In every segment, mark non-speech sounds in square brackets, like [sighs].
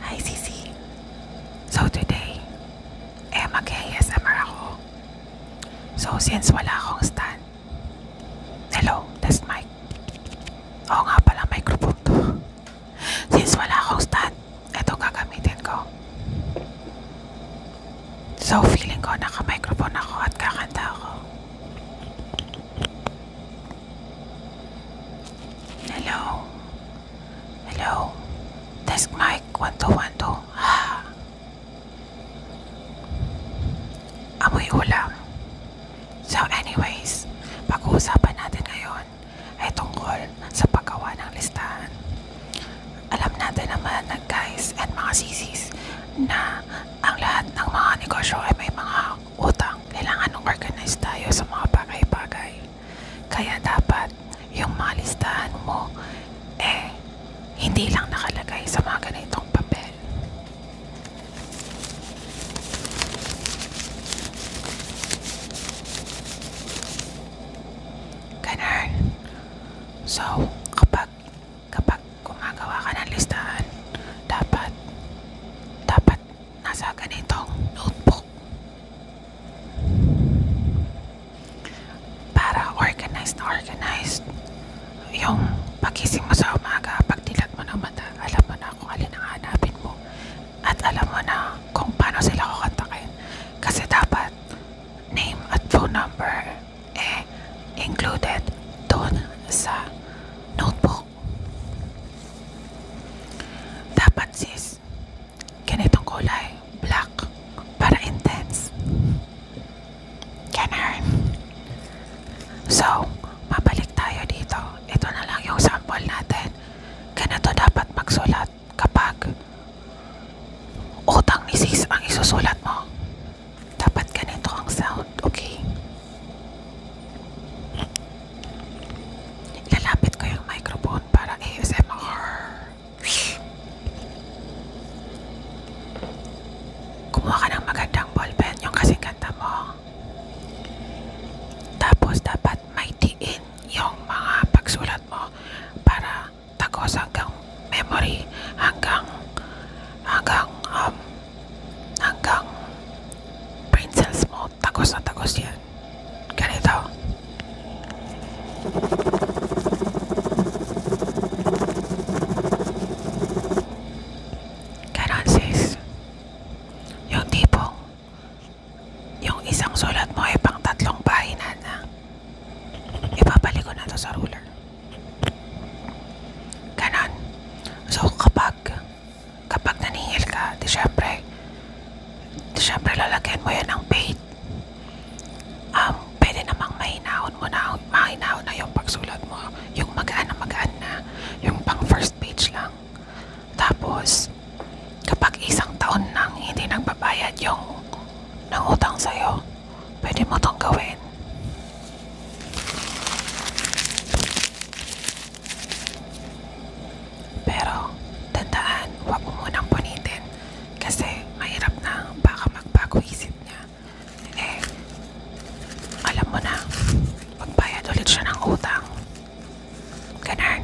Hi, Cece. So today, eh, mag-ASMR So since wala akong stand, hello, test mic. Oo nga pala, microphone to. [laughs] Since wala akong stand, Ito gagamitin ko. So feeling ko naka-microphone ako at kakanta ako. Hello? Hello? Desk mic 1212. Ah. [sighs] Amoy ulam. So anyways, pag-uusapan natin ngayon ay tungkol sa paggawa ng listahan. Alam natin naman na guys and mga sisis na ang lahat ng mga negosyo ay may mga utang. Kailangan ng organize tayo sa mga bagay-bagay. Kaya dapat yung mga listahan mo eh hindi lang nakalagay sa mga ganitong papel. Ganun. So, kapag, kapag gumagawa ka ng listahan, dapat, dapat nasa ganitong notebook. Para organized na organized yung pagising mo sa umaga, pagdilat mo ng mata, alam mo na kung alin ang hanapin mo at alam mo na kung paano sila kukontakin. Kasi dapat name at phone number eh included doon sa notebook. Dapat sis, ganitong kulay, black, para intense. Ganun. So, mabalik tayo dito. Ito na lang yung sample natin natin. Ganito dapat magsulat kapag utang ni sis ang isusulat mo. Dapat ganito ang sound, okay? Ilalapit ko yung microphone para ASMR. Kumuha ka ng magandang ballpen, yung kasing ganda mo. Tapos dapat maitiin yung mga pagsulat mo para tagos hanggang memory hanggang hanggang um, hanggang brain cells mo tagos na tagos yan. Ganito. Ganon sis. Yung tipong, yung isang sulat mo ay pang tatlong pahina na. Ipapalik ko na to sa ruler. Ganon. So, kapag, kapag naningil ka, di syempre, di syempre lalagyan mo yan ng paint. Um, pwede namang mahinahon mo na, mahinahon na yung pagsulat mo. Yung magaan na magaan na. Yung pang first page lang. Tapos, kapag isang taon nang hindi nagbabayad yung nangutang sa'yo, pwede mo tong gawin. Pero, tandaan, huwag mo munang punitin kasi mahirap na baka magbago isip niya hindi. Alam mo na. Magbayad ulit siya ng utang. Ganun.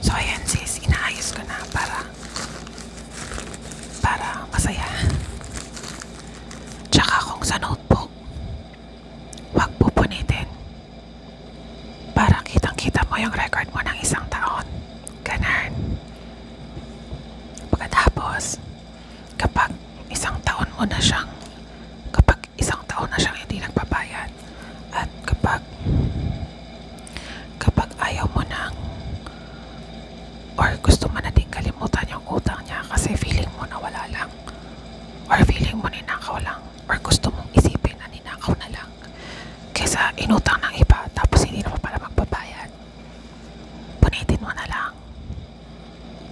So, ayan sis. Inaayos ko na para para masaya. Tsaka kung sa notebook, wag pupunitin. Para kitang-kita mo yung record mo ng isang taon. Ganun. Pagkatapos, kapag isang taon mo na siyang kapag isang taon na siyang hindi nagbabayad at kapag kapag ayaw mo nang or gusto mo na din kalimutan yung utang niya kasi feeling mo na wala lang or feeling mo ninakaw lang or gusto mong isipin na ninakaw na lang kesa inutang ng iba tapos hindi naman pala magbabayad punitin mo na lang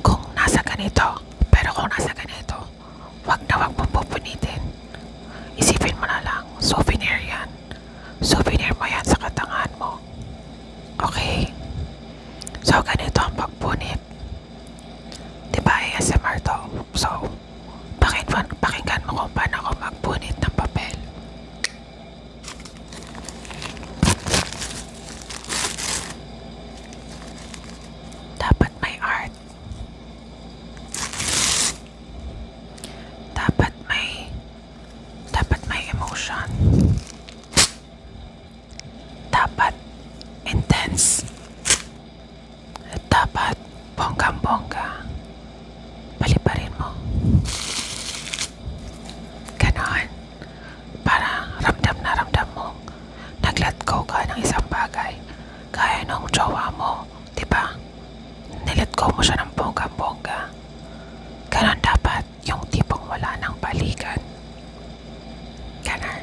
kung nasa ganito. Pero kung nasa ganito, wag na wag mong pupunitin. Isipin mo na lang, souvenir yan. Souvenir mo yan sa katangahan mo. Okay? So, ganito ang pagpunit. Diba, ASMR to? So, pakinggan, pakinggan mo kung paano ako magpunit ng papel. Dapat may art. Dapat may dapat may emotion. Dapat intense. Dapat bonggang-bongga. Paliparin mo. Ganon. Para ramdam na ramdam mo. Naglatko ka ng isang bagay. Kaya nung jowa mo, di ba? Nilatko mo siya ng bongga-bongga. Ganon dapat yung tipong wala ng balikan. Ganon.